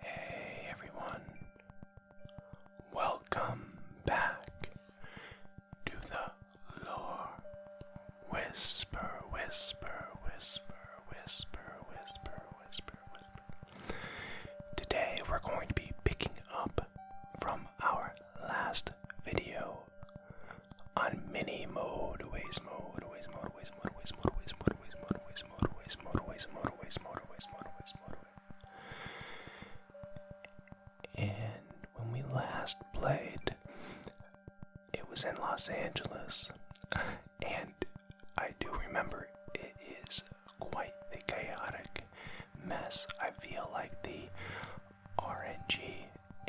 Hey everyone, welcome back to the Lore Whisper, Whisper, Whisper, Whisper, Whisper, Whisper, Whisper. Today we're going to be picking up from our last video on mini mode, ways mode, ways mode, ways mode, ways mode, ways mode, ways mode, ways motorways, motorways, motorways, motorways, motorways, motorways, motorways. And when we last played, it was in Los Angeles, and I do remember it is quite a chaotic mess. I feel like the RNG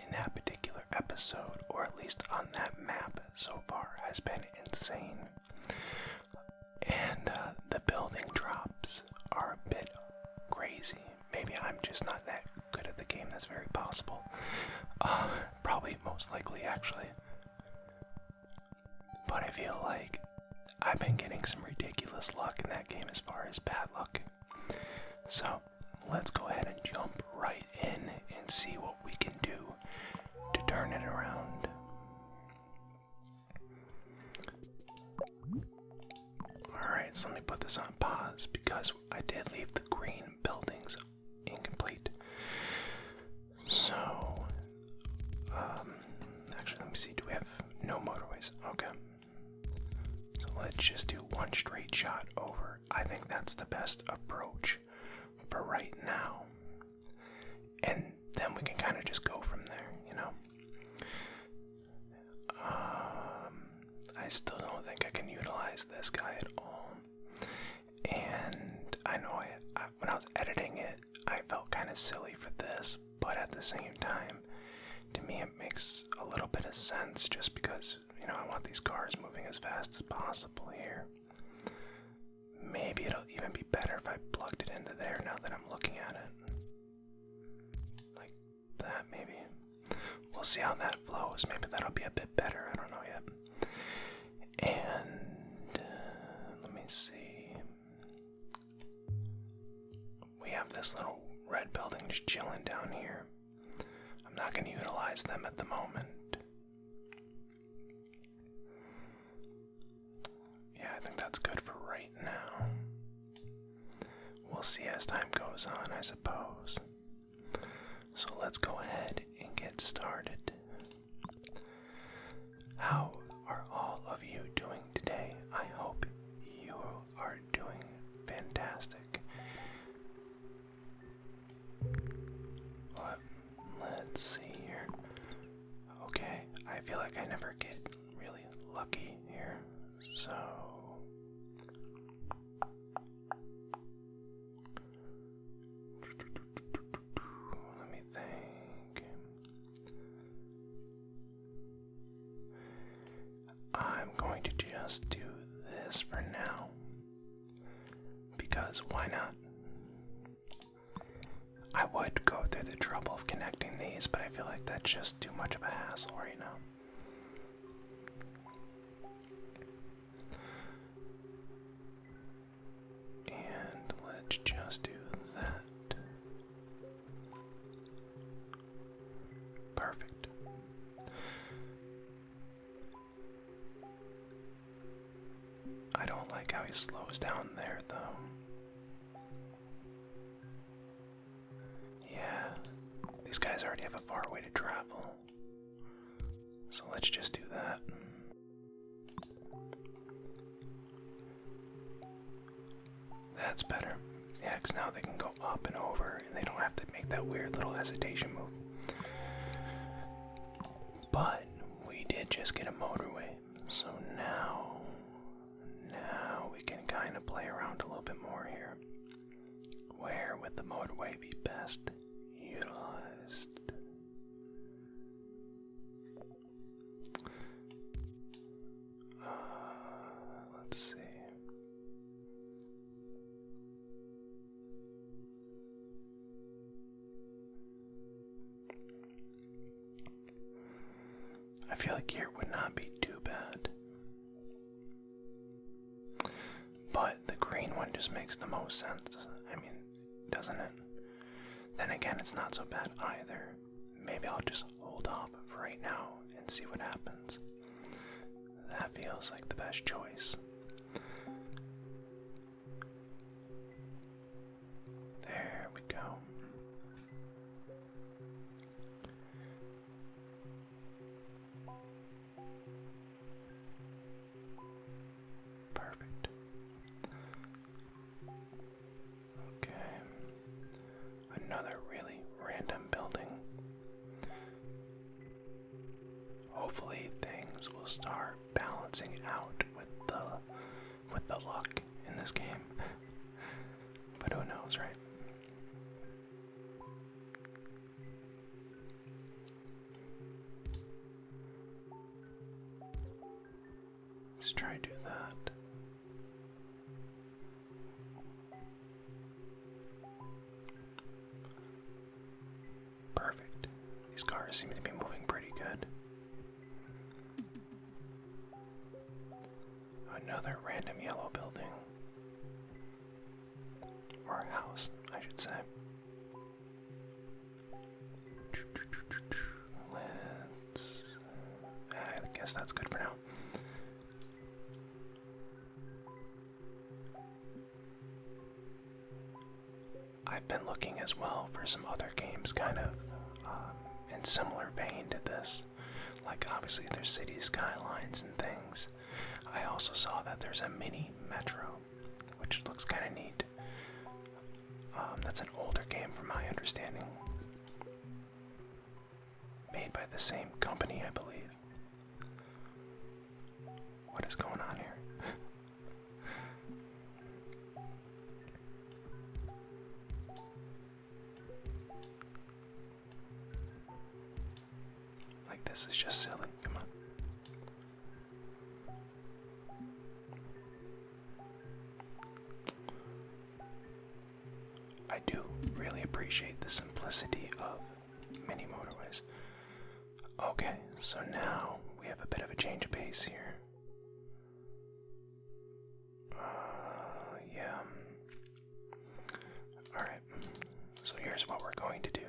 in that particular episode, or at least on that map so far, has been insane. And uh, the building drops are a bit crazy. Maybe I'm just not that good at the game, that's very possible. Uh, probably, most likely, actually. But I feel like I've been getting some ridiculous luck in that game as far as bad luck. So let's go ahead and jump right in and see what we can do to turn it around. Alright, so let me put this on pause because I did leave the green buildings incomplete. So, um, actually, let me see. Do we have no motorways? Okay. So let's just do one straight shot over. I think that's the best approach for right now and then we can kind of just go from there, you know. Um, I still don't think I can utilize this guy at all, and I know I, when I was editing it, I felt kind of silly for this, but at the same time, to me, it makes a little bit of sense just because you know I want these cars moving as fast as possible here. Maybe it'll even be better if I plugged it into there now that I'm looking at it. Like that, maybe. We'll see how that flows. Maybe that'll be a bit better. I don't know yet. And uh, let me see. We have this little red building just chilling down here. I'm not going to utilize them at the moment. Yeah, I think that's good for right now. We'll see as time goes on, I suppose. So let's go ahead and get started. How are all of you doing today? I hope you are doing fantastic. What? Let's see here. Okay, I feel like I never get really lucky here. So let me think. I'm going to just do this for now. Because why not? I would go through the trouble of connecting these, but I feel like that's just too much of a hassle right now. And let's just do that. Perfect. I don't like how he slows down there, though. Yeah, these guys already have a far way to travel. So let's just do that. That's better. Yeah, because now they can go up and over and they don't have to make that weird little hesitation move. But we did just get a motorway so now, now we can kind of play around a little bit more here. Where would the motorway be best utilized? Uh, let's see. I feel like here would not be too bad. But the green one just makes the most sense. I mean, doesn't it? Then again, it's not so bad either. Maybe I'll just hold off right now and see what happens. That feels like the best choice. There we go. Perfect. Okay. Another really random building. Hopefully, things will start balancing out with the with the luck in this game. but who knows, right? Let's try do that. Perfect. These cars seem to be moving pretty good. Another random yellow building. Or house, I should say. Let's. I guess that's good for now. I've been looking as well for some other games, kind of um, in similar vein to this. Like obviously there's city skylines and things. I also saw that there's a mini metro, which looks kind of neat. Um, that's an older game from my understanding. Made by the same company, I believe. What is going on here? Like this is just silly. Come on. I do really appreciate the simplicity of mini motorways. Okay, so now we have a bit of a change of pace here. Uh, yeah. Alright, so here's what we're going to do.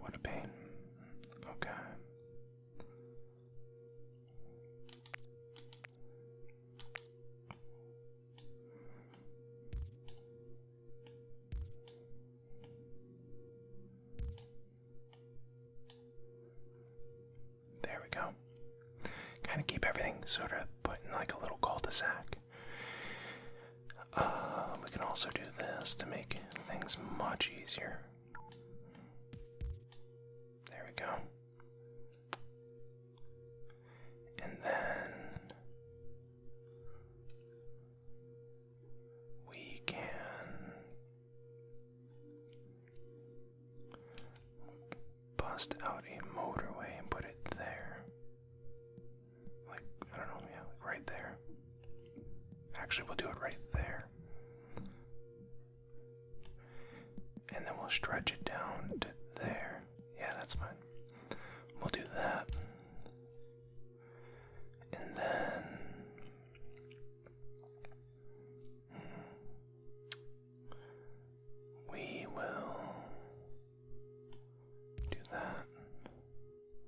What a pain. Okay. There we go. Kind of keep everything sort of put in like a little cul de sac. Um, we can also do this to make things much easier. There we go. And then we can bust out a motorway and put it there. Like, I don't know, yeah, like right there. Actually, we'll do it right there. And then we'll stretch it down to there. Yeah, that's fine. We'll do that. And then. We will do that.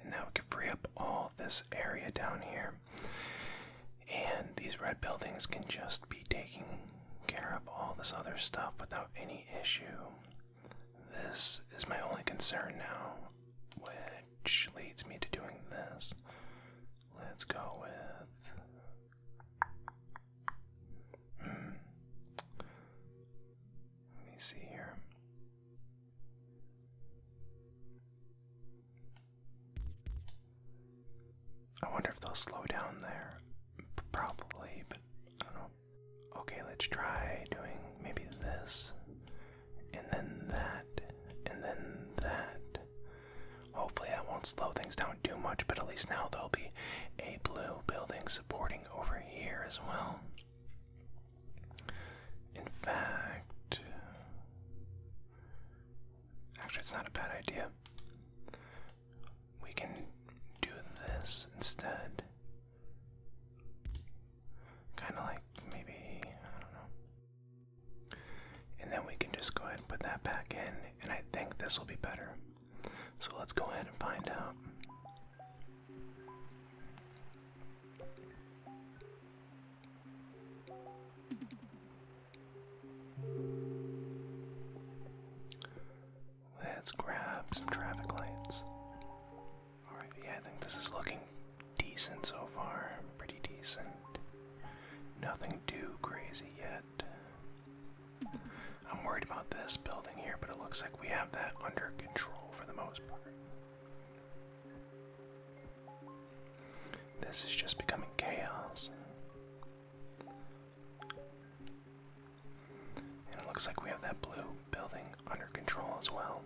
And now we can free up all this area down here. And these red buildings can just be taking care of all this other stuff without any issue. This is my only concern now, which leads me to doing this. Let's go with. Hmm, let me see here. I wonder if they'll slow down there. probably, but I don't know. Okay, let's try doing maybe this, and then that, and then that. Hopefully, that won't slow things down too much, but at least now there'll be a blue building supporting over here as well. In fact, actually, it's not a bad idea. We can do this instead. Kind of like maybe, I don't know. And then we can just go ahead and put that back in, and I think this will be better. So let's go ahead and find out. Let's grab some traffic lights. Alright, yeah, I think this is looking decent so far. Pretty decent. Nothing too crazy yet. I'm worried about this building here, but it looks like we have that under control for the most part. This is just becoming chaos. And it looks like we have that blue building under control as well.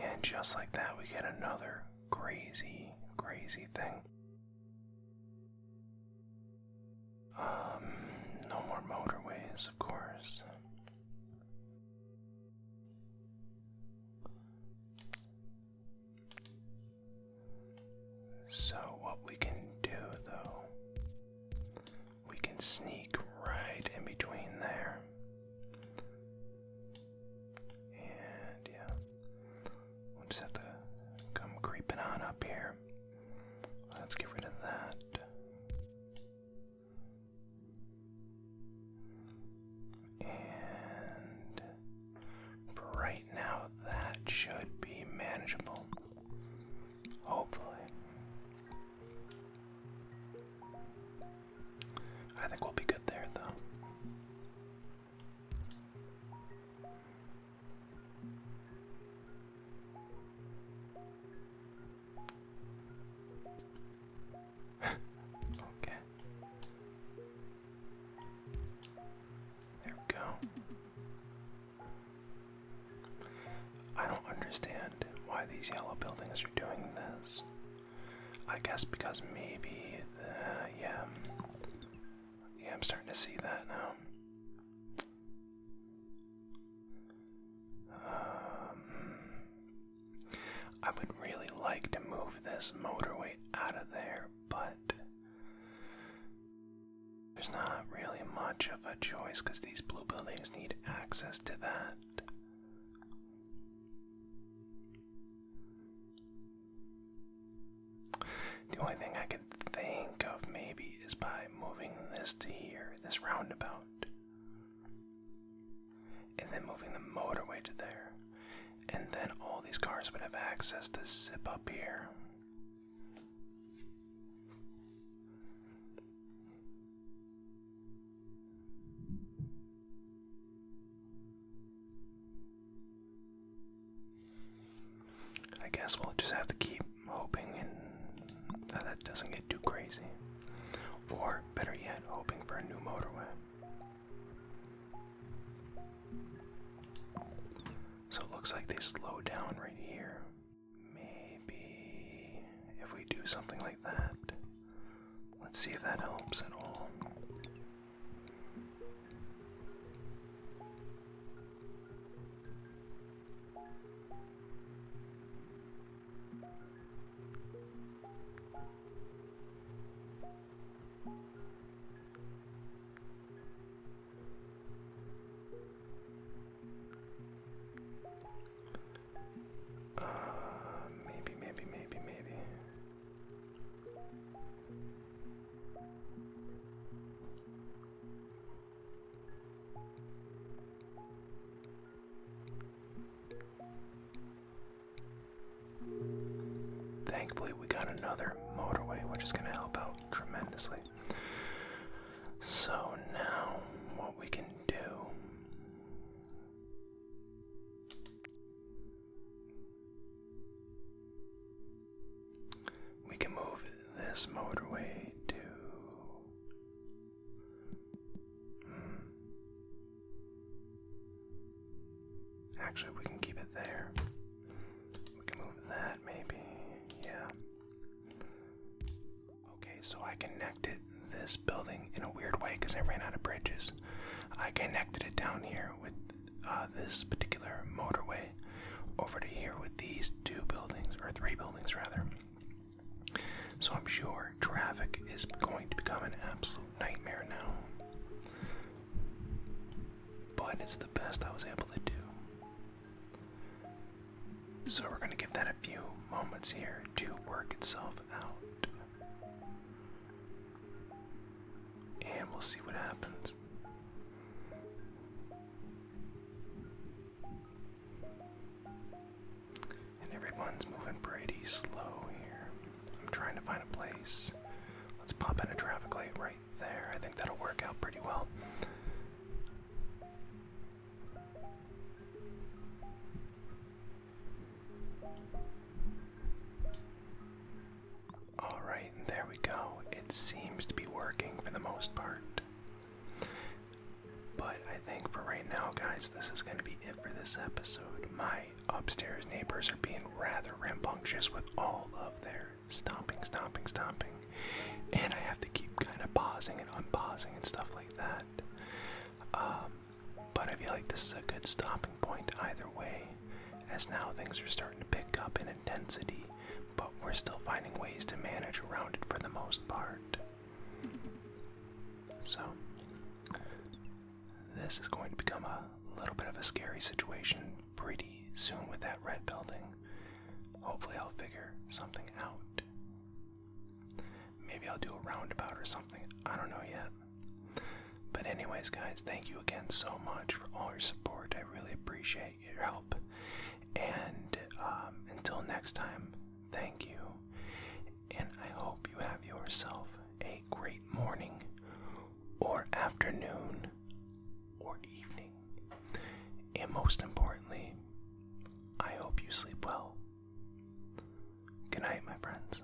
And just like that, we get another crazy, crazy thing. Um, no more motorways, of course. So, what we can do though, we can sneak right in between there. And yeah, we'll just have to come creeping on up here. Let's get rid of that. And for right now, that should be manageable. Hopefully. I think we'll be good there, though okay. There we go. I don't understand why these yellow buildings are doing this. I guess because maybe, uh, yeah, yeah, I'm starting to see that now. Um, I would really like to move this motorway out of there, but there's not really much of a choice because these blue buildings need access to that. The only thing I could think of maybe is by moving this to here, this roundabout, and then moving the motorway to there, and then all these cars would have access to zip up here. I guess we'll just have to keep hoping that, that doesn't get too crazy. Or, better yet, hoping for a new motorway. So it looks like they slow down right here. Maybe if we do something like that. Let's see if that helps at all. Uh, maybe, maybe, maybe, maybe. Thankfully, we got another motorway, which is going to help out tremendously. So, now what we can do we can move this motorway to. Hmm. Actually, we can keep it there. We can move that maybe. Yeah. Okay, so I connected this building in a weird way because I ran out of bridges. I connected it down here with uh, this particular motorway over to here with these two buildings, or three buildings rather. So I'm sure traffic is going to become an absolute nightmare now. But it's the best I was able to do. So we're going to give that a few moments here to work itself out. And we'll see what happens. And everyone's moving pretty slow here. I'm trying to find a place. Let's pop in a traffic light right there. I think that'll work out pretty well. Alright, there we go. It seems to be working for the most part. But I think for right now, guys, this is going to be it for this episode. My upstairs neighbors are being rather rambunctious with all of their stomping, stomping, stomping. And I have to keep kind of pausing and unpausing and stuff like that. Um, but I feel like this is a good stopping point either way as now things are starting to pick up in intensity, but we're still finding ways to manage around it for the most part. So, this is going to become a little bit of a scary situation pretty soon with that red building. Hopefully, I'll figure something out. Maybe I'll do a roundabout or something. I don't know yet. But, anyways, guys, thank you again so much for all your support. I really appreciate your help. And um, until next time, thank you. And I hope you have yourself a great morning, or afternoon, or evening. And most importantly, I hope you sleep well. Good night, my friends.